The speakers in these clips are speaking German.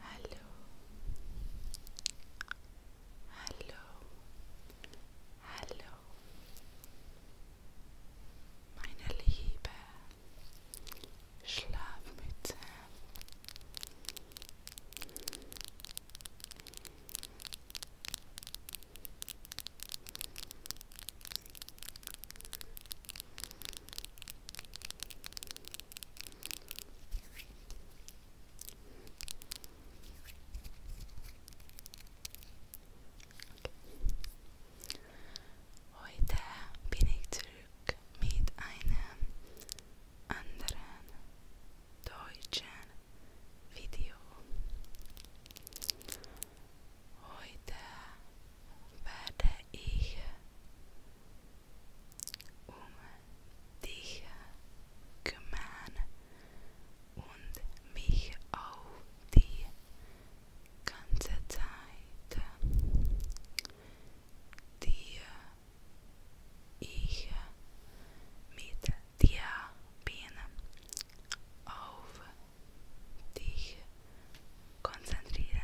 Hallo. Hallo. Hallo. Meine liebe Schlafmütze. Heute bin ich zurück mit einem anderen deutschen Video. Heute Werde ik um Dich kümmern und mich auf die ganze Zeit, die ich mit dir bin, auf dich konzentrieren.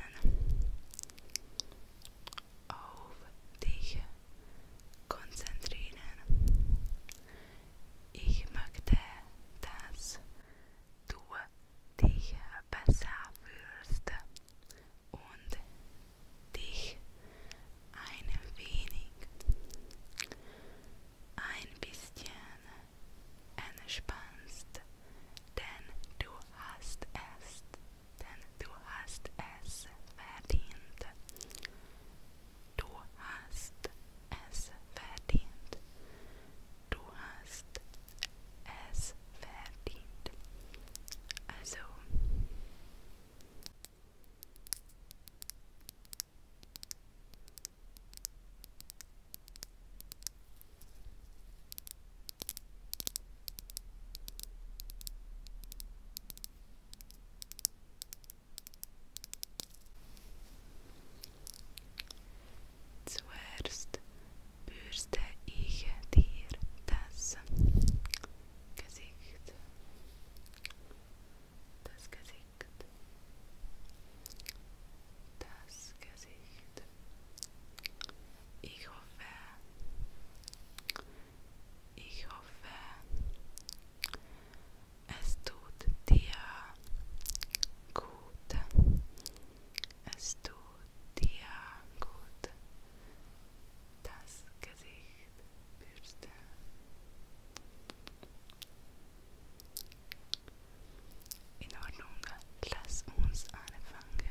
auf dich konzentrieren. Ich möchte, dass du dich besser fühlst und dich ein wenig, ein bisschen entspannst, denn du hast erst denn du hast es verdient. Du hast es verdient. Du hast es verdient. Also. Zuerst bürste ich dir das Gesicht. Das Gesicht. Das Gesicht. Ich hoffe, ich hoffe, es tut dir gut. Es tut dir gut. Das Gesicht bürsten. In Ordnung, lass uns anfangen.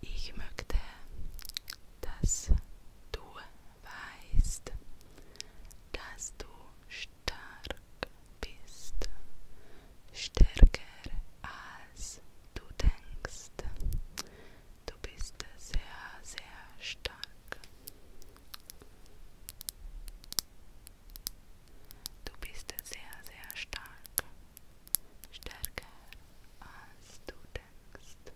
Ich möchte, dass du weißt, dass du stark bist, stärker als du denkst. Du bist sehr, sehr stark. Du bist sehr, sehr stark. Stärker als du denkst.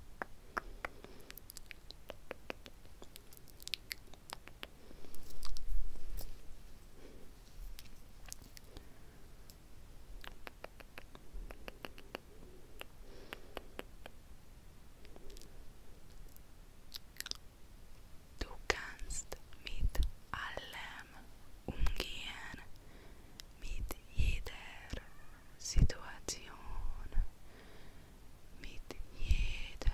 Du kannst mit allem umgehen, mit jeder Situation, mit jeder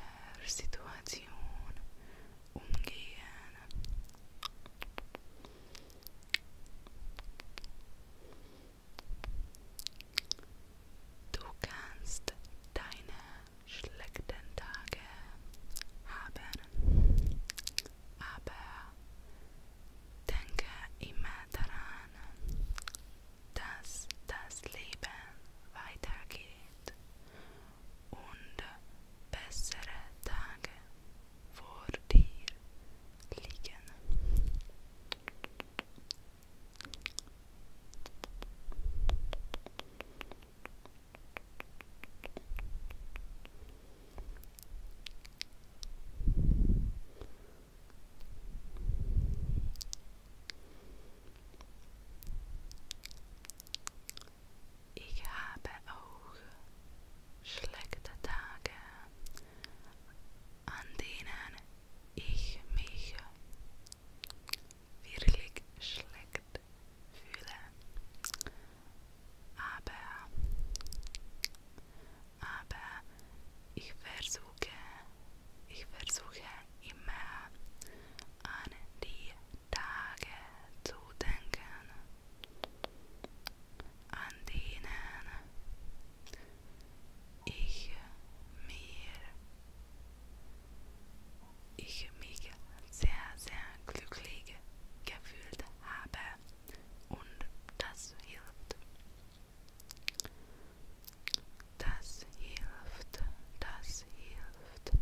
Situation umgehen. Du kannst deine schlechten Tage haben. aber denke immer daran, dass das Leben weitergeht und bessere Tage vor dir liegen. Ik habe auch schlechte Tage, an denen ik mich wirklich schlecht fühle aber, ah, aber ah, ich versuche, ich versuche immer an die Tage zu denken, an denen ich mir ich mich sehr, sehr glücklich gefühlt habe und das hilft. Das hilft, das hilft.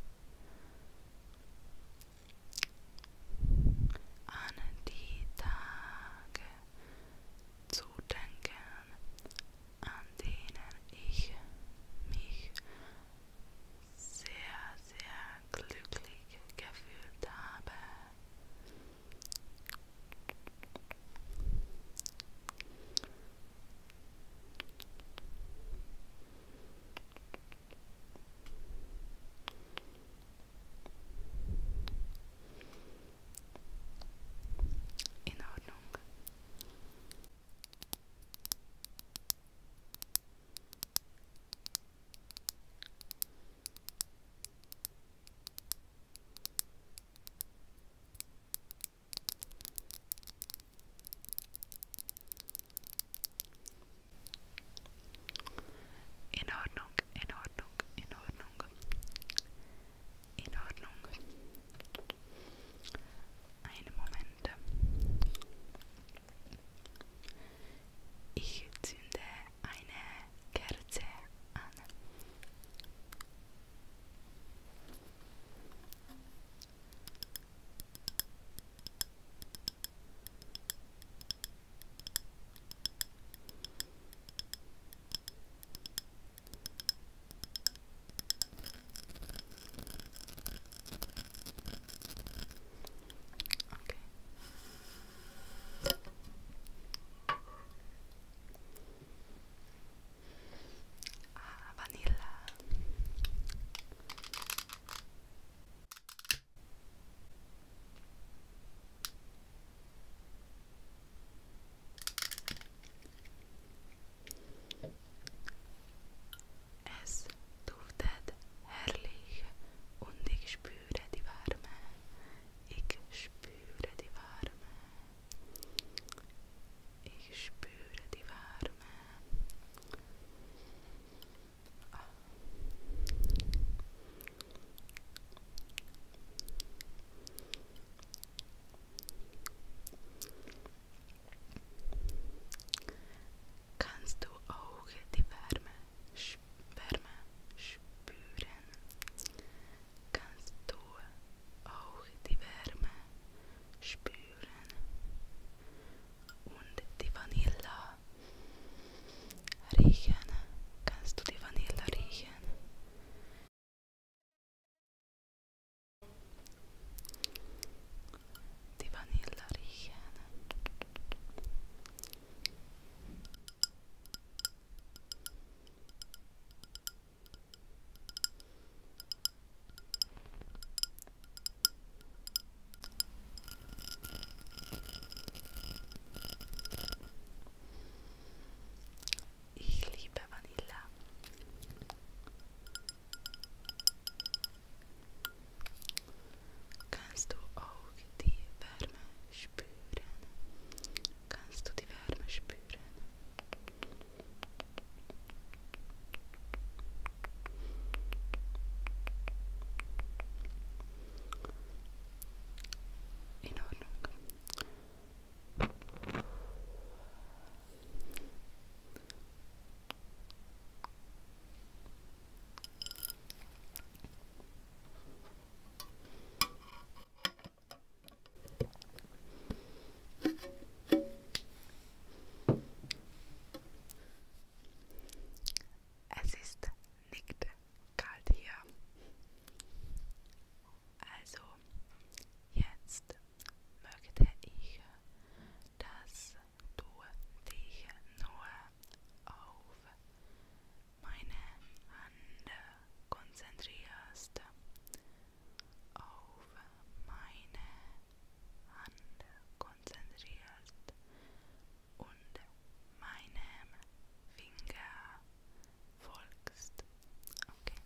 An die Tage zu denken, an denen ich mich sehr, sehr glücklich gefühlt habe. In Ordnung. In Ordnung, in Ordnung, in Ordnung. In Ordnung. Einen Moment. Ich zünde eine Kerze an. Okay. vanilla. Es duftet herrlich und spüre die warme. Ik spüre die warme. Ik spüre die warme. Oh. Ah. Kannst du auch die Wärme Sperma spüren, kannst du auch die Wärme spüren und die Vanille riechen, kannst du die Vanille riechen. Die Vanille riechen. Ich liebe Vanilla. Kannst du auch die Wärme spüren? Kannst du die Wärme spüren? In Ordnung. Es ist nicht kalt hier. Also jetzt möchte ich, dass du dich nur auf meine Hände konzentrierst auf meine Hände konzentrierst und meinem Finger folgst. Okay.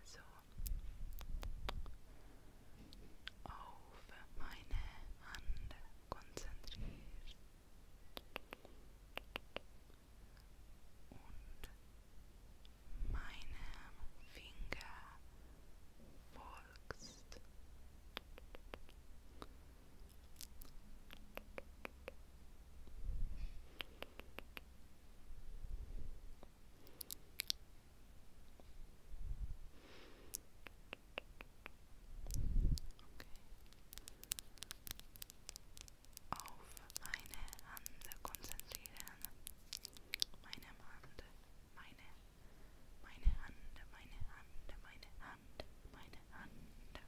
Also auf meine Hand konzentriert und meinem Finger folgst. Auf meine Hände konzentrieren. Meine Hand, meine, meine Hand, meine Hand, meine Hand, meine Hand.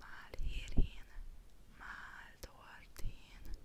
Mal hierhin, mal dorthin.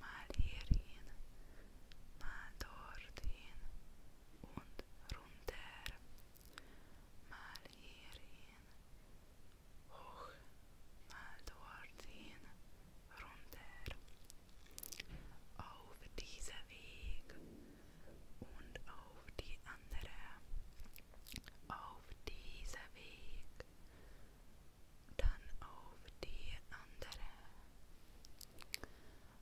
mal hierhin, mal dorthin und runter, mal hierhin, hoch, mal dorthin, runter. Auf dieser Weg und auf die andere, auf dieser Weg, dann auf die andere.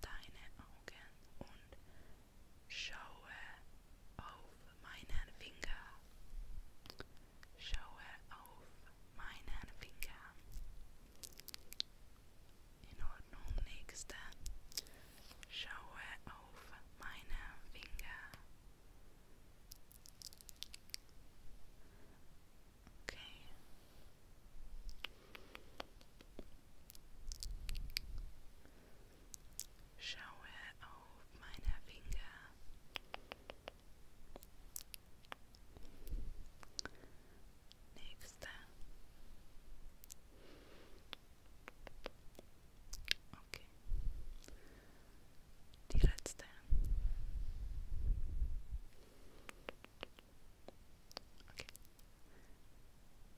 deine Augen und schaue auf meinen Finger. Schaue auf meinen Finger. In Ordnung, nächste. Schaue auf meinen Finger. Okay. Schaue auf meine Finger. Nächste. Okay. Die letzte. Okay.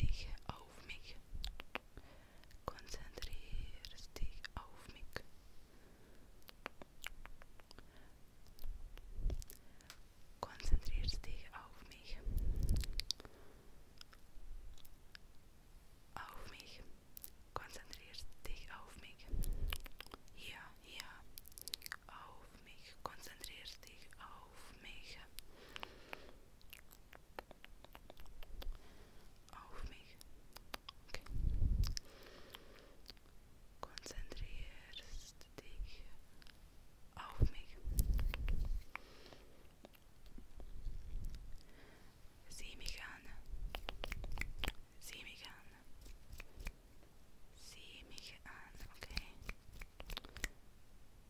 dich auf mich. Konzentrier dich auf mich. Konzentrier dich auf mich. Auf mich. Konzentrier dich auf mich. Ja, ja. Auf mich. Konzentrier dich auf mich. Aufmerksamkeit. Okay. Konzentrierst dich Op mich. Sieh mich an. Sieh mich an. Sieh mich an, Oké.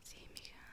Sieh mich an.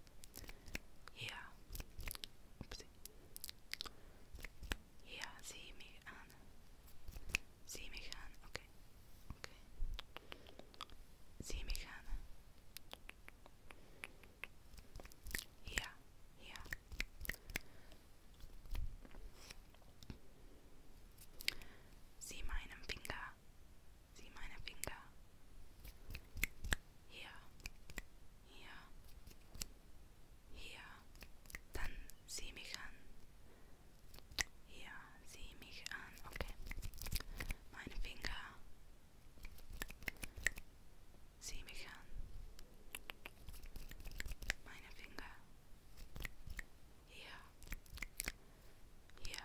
Yeah. Oopsie. Yeah, sieh mich an. Sieh mich an. Okay. Okay. Sieh mich an. Ja, ja. Sieh meinen Finger. Sieh meine Finger. Hier, hier, hier. Dann sieh mich an. Hier, sieh mich an. Okay. Meine Finger. Sieh mich an. Meine Finger. Hier. Hier.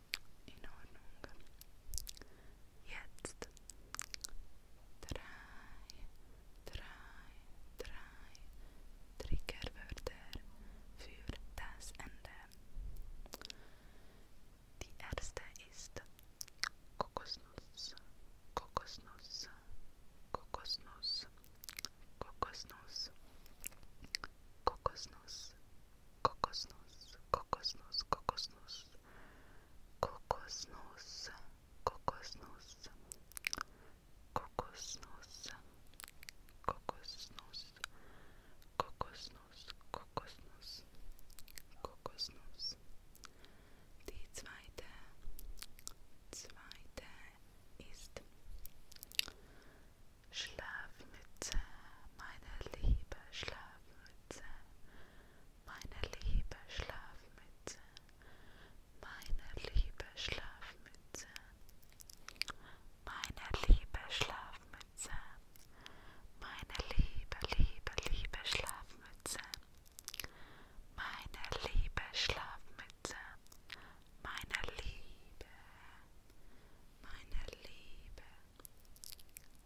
Ordnung. Jetzt. Drei, drei, drei Triggerwörter für das Ende. Die erste ist Kokosnuss, Kokosnuss, Kokosnuss, Kokosnuss, Kokosnuss, Kokosnuss, kokosnuss, kokosnuss, kokosnuss, kokosnuss, kokosnuss, kokosnuss, kokosnuss, kokosnuss, kokosnuss, kokosnuss. Die zweite, zweite ist Schlafmütze, meine liebe Schlafmütze, meine liebe Schlafmütze, meine liebe Schlafmütze, meine liebe Schlafmütze, meine liebe, liebe, liebe Schlafmütze, meine liebe Schlafmütze, meine liebe, meine liebe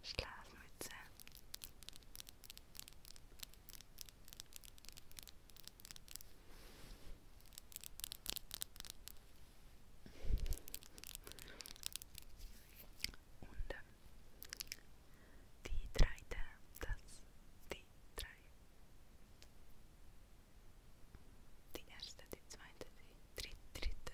Schlafmütze. Und ähm, die drei, das, die drei. Die erste, die zweite, die dritte. dritte.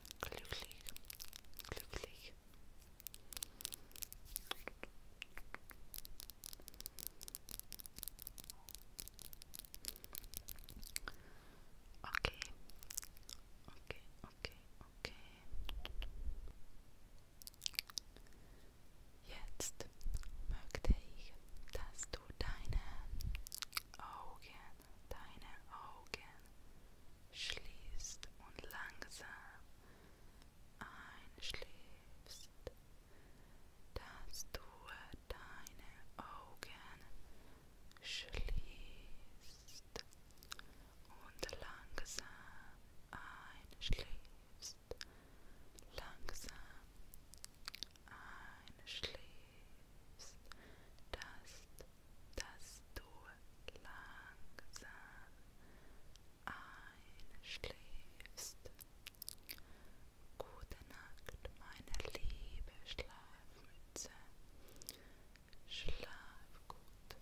glücklich, glücklich. Okay, okay, okay, okay. Jetzt möchte ich, dass du deine Augen deine Augen, schließt und langsam einschläfst. Dass du deine Augen schließt und langsam einschläfst, langsam einschläfst ist, dass, dass du langsam einschläfst. Gute Nacht, meine liebe Schlafmütze. Schlaf gut,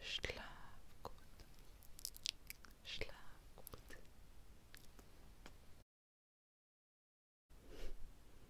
schlaf gut, schlaf gut.